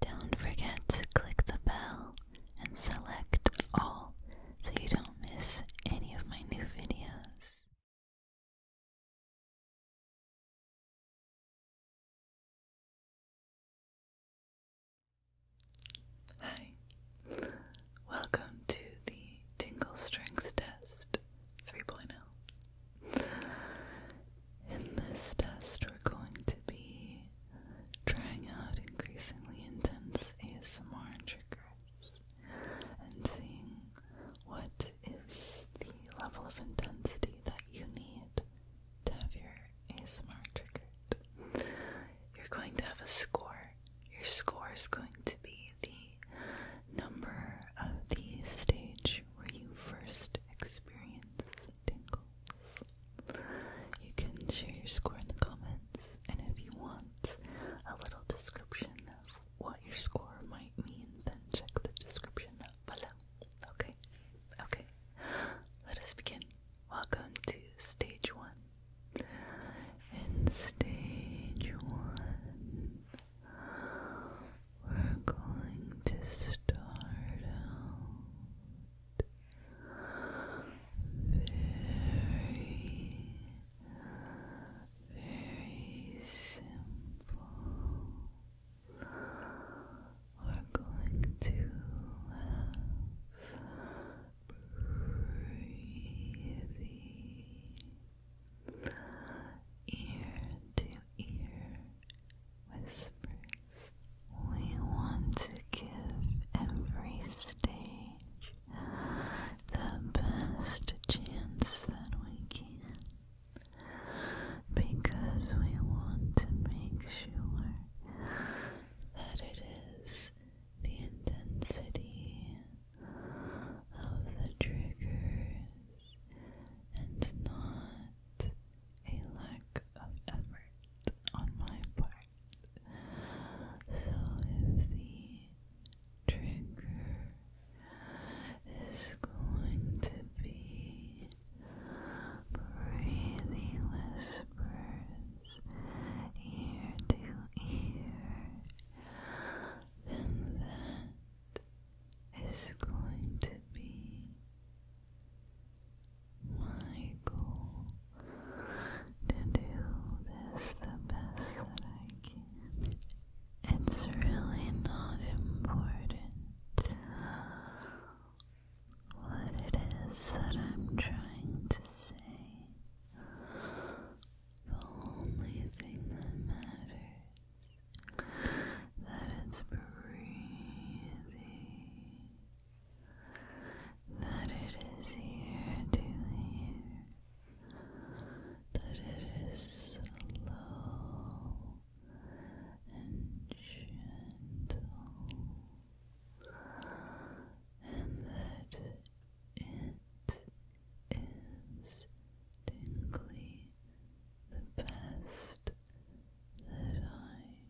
Don't forget to click the bell and select all so you don't miss any of my new videos. Hi, welcome to the Tingle Strength Test 3.0. In this test, we're going to be trying out increasingly intense ASMR triggers and seeing what is the level of intensity that you need to have your ASMR triggered. You're going to have a score. Your score is going to be the number of the stage where you first experience tingles. You can share your score in the comments, and if you want a little description of what your score might mean, then check the description below. Okay, okay, let us begin. Welcome to stage one. In stage one, we're going to start very, very simple. We're going to have ear to ear whispering. We want to give every stage the best chance that we can because we want to make sure that it is the intensity of the triggers and not a lack of effort on my part. So if the trigger is going to be breathing whispers ear to ear, then that is going to be my goal to do this the best that I can. It's really not important what it is that I'm trying to say. The only thing that matters that it's breathing that it is here to hear, that it is slow and gentle, and that it is distinctly the best that I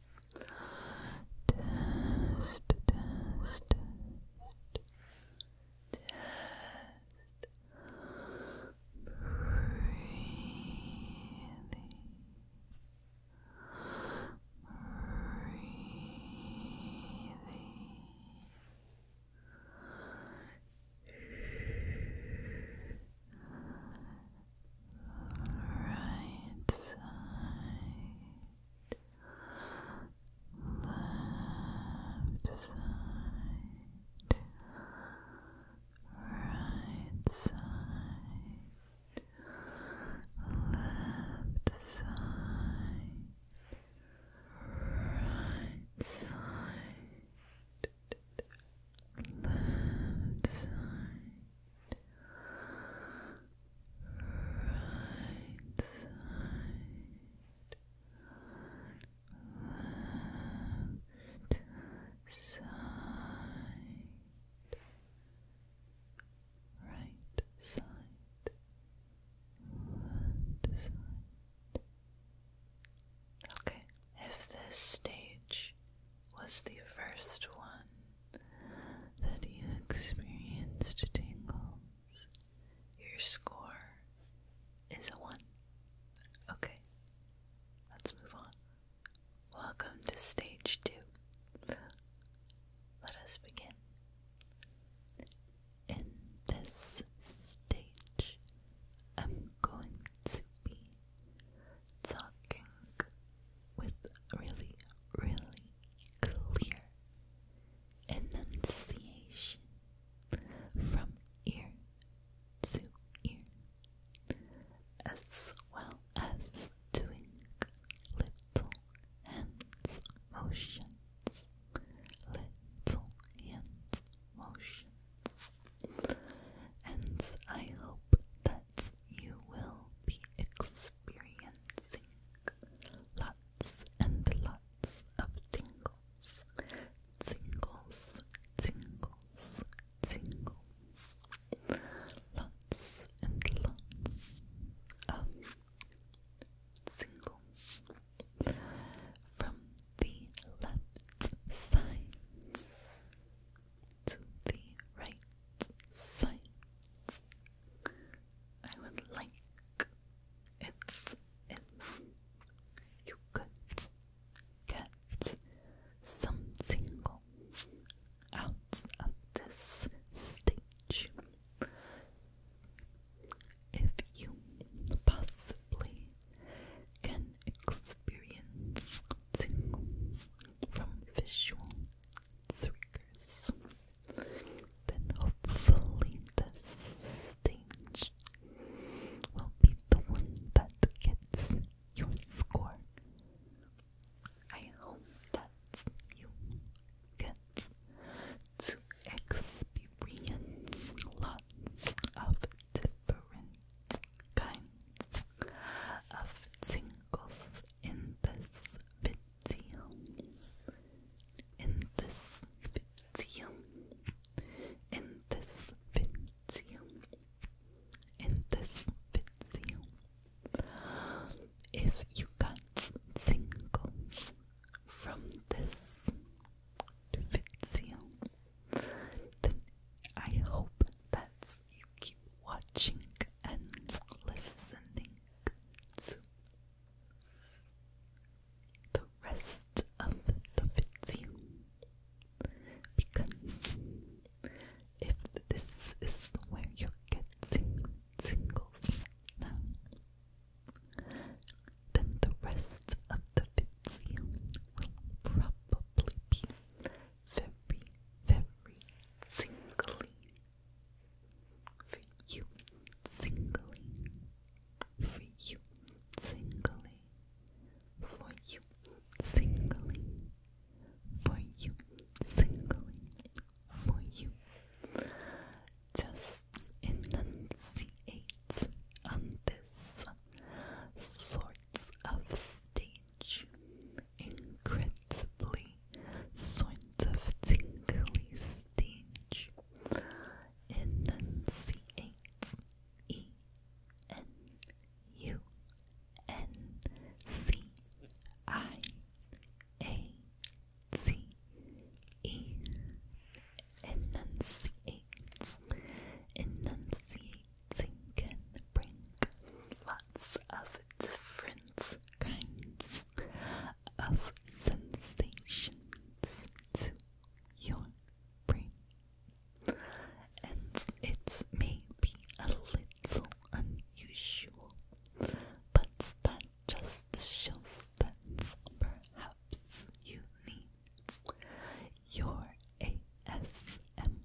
test, test, test, test. Breathing. Breathing right side, left side, right side, left side, right side, left side. Right side, left side, right side, left side. Okay, if this stage was the first one that you experienced tingles. Your score is a 1. Okay, let's move on. Welcome to stage 2. Let us begin. In this stage, I'm going to be talking with really, really clear enunciation from ear to ear, as well as doing little hands motions, little hands motions. And I hope that that you will be experiencing lots and lots of tingles, tingles, tingles, tingles, lots and lots of tingles from the left side to the right side. I would like it if you could get some tingles out of this stage. If you possibly can experience from visual triggers. Then hopefully this stage will be the one that gets your score. I hope that you get to experience lots of different kinds of singles in this video. In this video. In this video. In this video. If you got singles from this video, then I hope that you keep watching and listening the rest of the video. Because if this is where you're getting tingles now, then the rest of the video will probably be very, very singly for you, singly for you, singly for you, singly for you, singly for you. Just enunciate on this sorts of statement incredibly sort of tingly stage, enunciates E N U N C I A T E enunciates enunciating can bring lots of different kinds, of sensations to your brain, and it may be a little unusual, but that just shows that perhaps you need your ASMR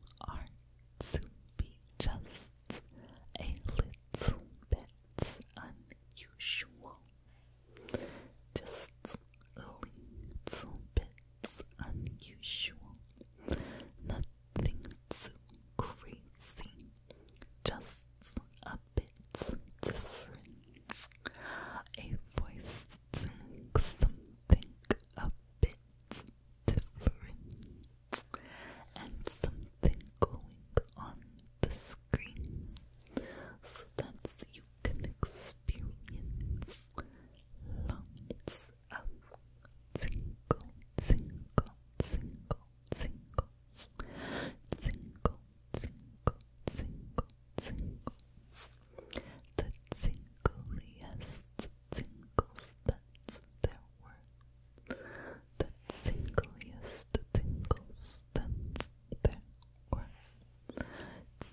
to be just a little bit unusual. Just a little bit unusual. Nothing too crazy. Just a bit different. A voice doing something a bit different and something going on the screen so that you can experience lots of single, single, single, singles, single, single, single, singles, the singliest singles there were, that singliest tingles that there were,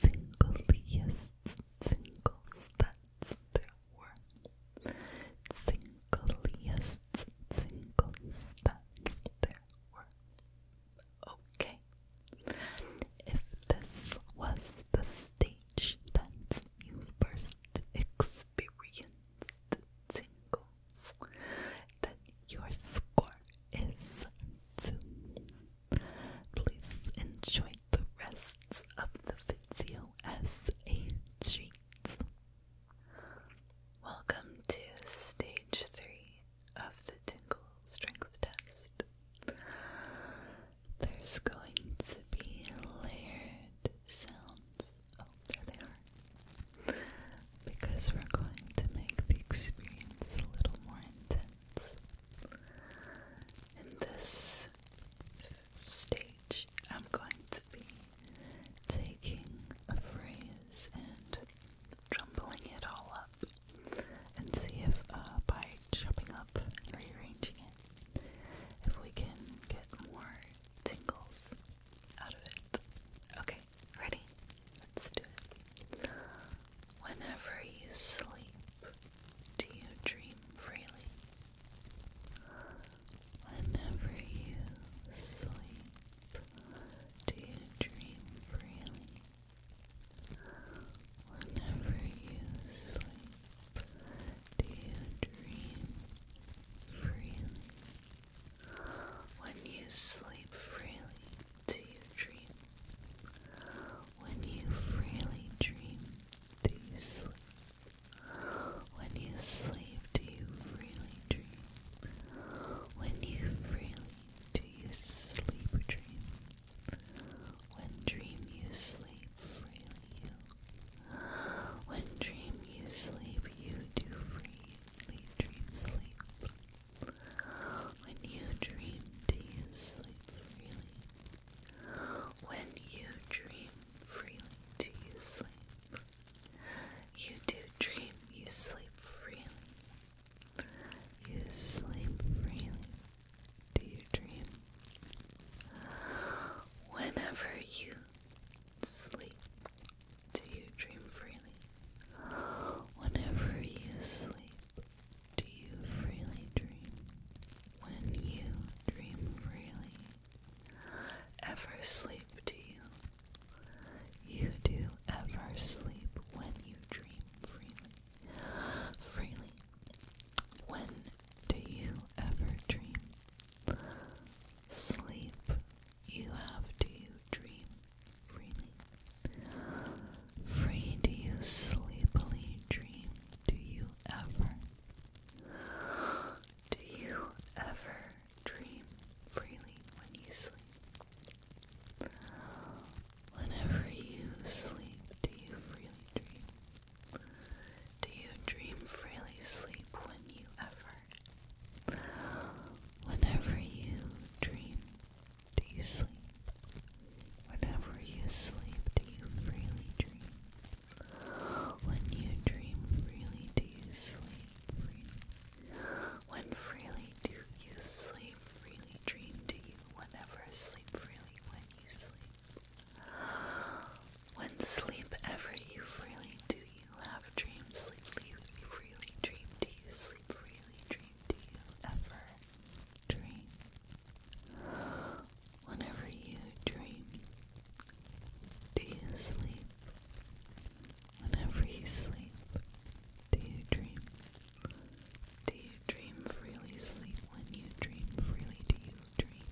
singliest tingles that there were, singliest tingles that there were. Okay, if this was the stage that you first experienced singles, your score is 2. Please enjoy the rest of the video as a treat. Welcome to stage 3 of the Tingle Strength Test. There's going to be layered sounds, of there they are. Because we're going to make the experience a little more intense. In this stage, I'm going to be taking a phrase and Jumbling it all up and see if, uh, by chopping up and rearranging it, if we can get more tingles out of it. Okay, ready? Let's do it. Whenever you sleep, do you dream freely? Whenever you sleep, do you dream freely? Whenever you sleep, do you dream freely? When you sleep freely, do you dream? When you freely dream, do you sleep? When you sleep, do you freely dream? When you freely, do you sleep dream? When dream you sleep freely, when dream you sleep, you do freely dream sleep. When you dream, do you sleep freely? When you dream freely, do you sleep? You do dream, you sleep freely. You sleep freely. Do you dream? Whenever you Sleep do you dream freely? Whenever you sleep, do you freely dream? When you dream freely, ever sleep do you? You do ever sleep when you dream freely. Freely. When do you ever dream? sleep, you have to dream freely. Free do you sleepily dream? Do you ever? Do you ever dream freely when you sleep? Whenever you sleep, do you freely dream? Do you dream freely sleep when you ever? Whenever you dream, do you sleep? Whenever you sleep, do you freely dream? When you dream freely, do you sleep When freely do you sleep freely, dream do you whenever sleep freely when you sleep? When sleep ever you freely do you have dreams, sleep leave you freely dream do you sleep freely dream do you ever dream. Whenever you dream, do you sleep? Whenever you sleep, do you dream? Do you dream freely sleep? When you dream freely, do you dream?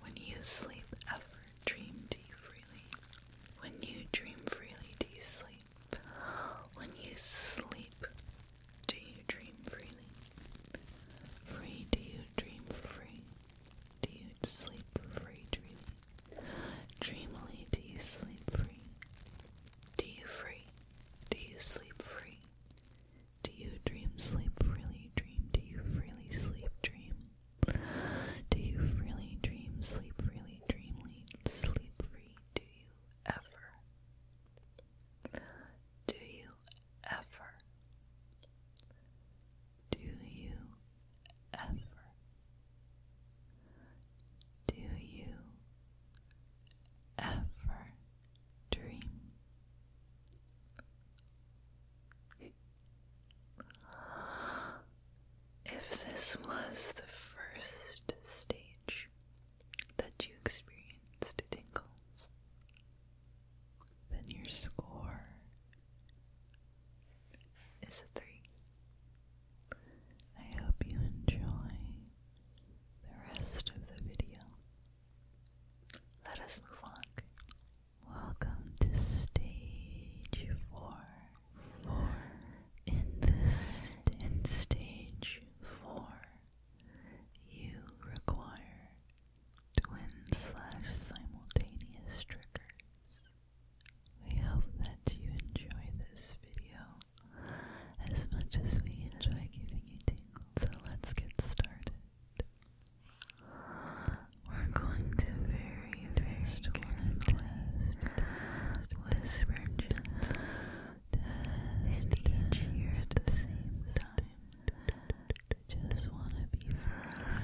When you sleep, ever dream do you freely. When you dream freely, do you sleep? When you sleep, do you dream freely? Free, do you dream free? Do you sleep free, Dreamily, do you sleep free? Do you free? Do you sleep free? Do you dream sleep freely? Dream, do you freely sleep? Dream. Do you freely dream, sleep freely, dream sleep free? Do you ever? Do you ever? Do you ever? Do you ever dream? If this was the first stage that you experienced tingles, then your score is a three. I hope you enjoy the rest of the video. Let us move on Welcome to stage four. Four. In this in stage four, you require twin slash simultaneous triggers. We hope that you enjoy this video as much as we enjoy giving you tingles. So let's get started. We're going to very first one test. Whisper just test each year at the same time. Just want to be free.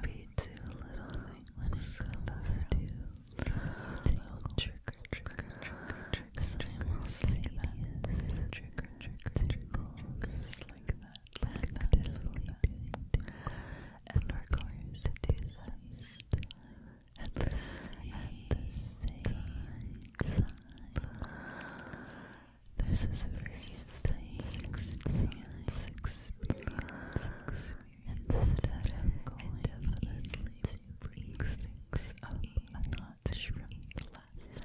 Maybe too little when it comes to little trigger, trigger, trigger, trigger, simultaneous trigger, trigger, trigger, trigger, like that lack of sleeping, and the same time. This is a very experience, experience, instead of going indefinitely to brings things up a notch from last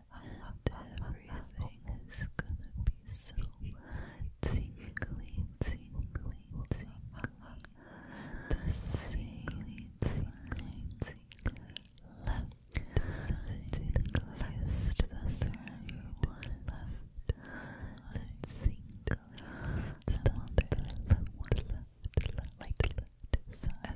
I and everything It's gonna be so tingly, tingly, tingly. The tingly, tingly, tingly. Left, the tingliest, the third one left. The tingliest, the third one left. Left, left, left, left. Side, side,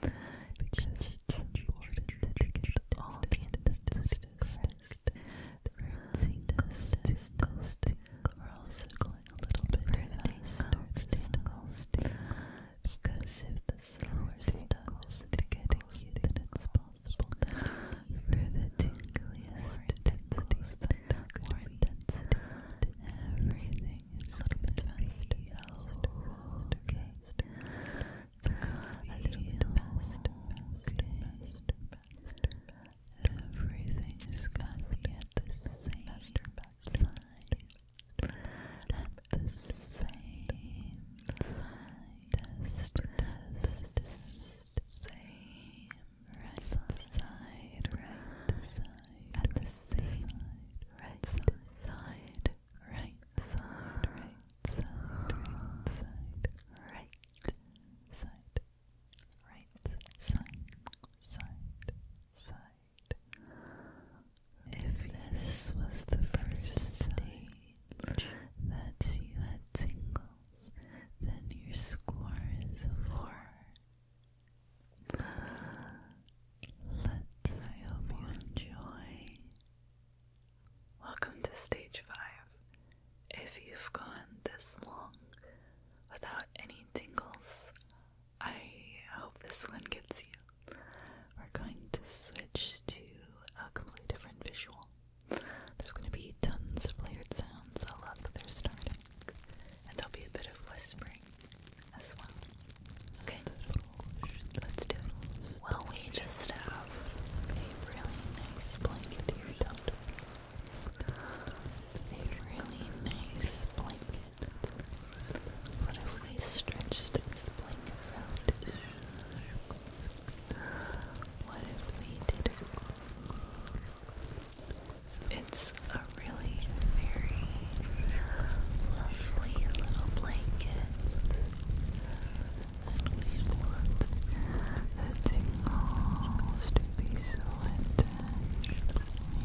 because all the instances are also going a little bit faster. Single, single. Because if the slower stuff is getting you, then it's possible for the tingliest intensity, more intensity, everything a little bit faster, okay. A little bit faster, faster, Everything is going at the same faster, at the same time. Test, test, test, same. Right side, right side, at the same side, right side, right side, right side, right side, right side, right side, side, side. If this was the first stage that you had tingles, then your score is a four. Let's, I hope you enjoy. Welcome to stage five. If you've gone this long without any tingles, I hope this one gets you. We're going to switch to a completely different visual. There's going to be tons of layered sounds. I love that they're starting. And there'll be a bit of whispering as well. Okay, let's do Well, we just have a really nice blanket here, don't we? A really nice blanket. What if we stretched this blanket out? What if we did it? It's a really really very lovely little blanket. And we want the tingles to be so intense.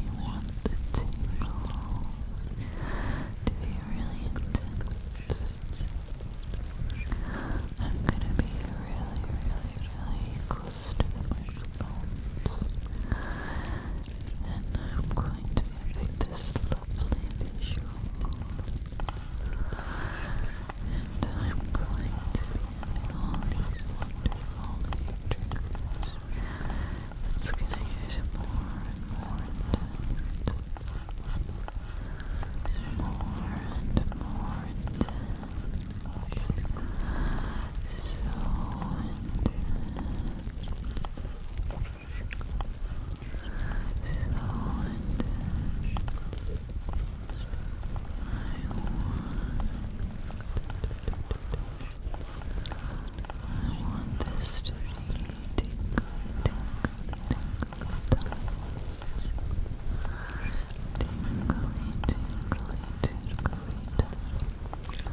We want the tingles to be really intense. I'm gonna be really, really, really close to the microphone and I'm going to make this lovely visual and I'm going to be all these wonderful triggers it's gonna get more and more intense more and more intense so intense I want this to be tingly, tingly, tingly, tingly, tingly, tingly, tingly, tingly,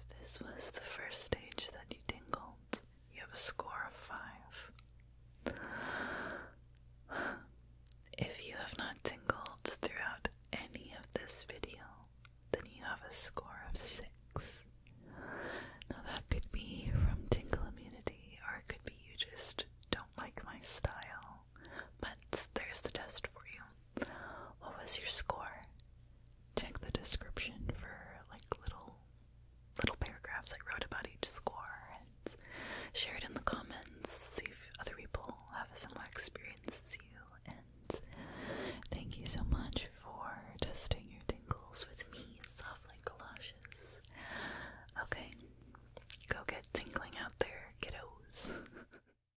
If this was the first stage that you tingled, you have a score of five. If you have not tingled throughout any of this video, then you have a score of six. Now that could be from tingle immunity, or it could be you just don't like my style, but there's the test for you. What was your score? Check the description for like little little paragraphs I wrote about each score and share it in the comments. See if other people have a similar experience as you. And thank you so much for testing your tingles with me, softly galoshes. Okay, go get tingling out there, kiddos.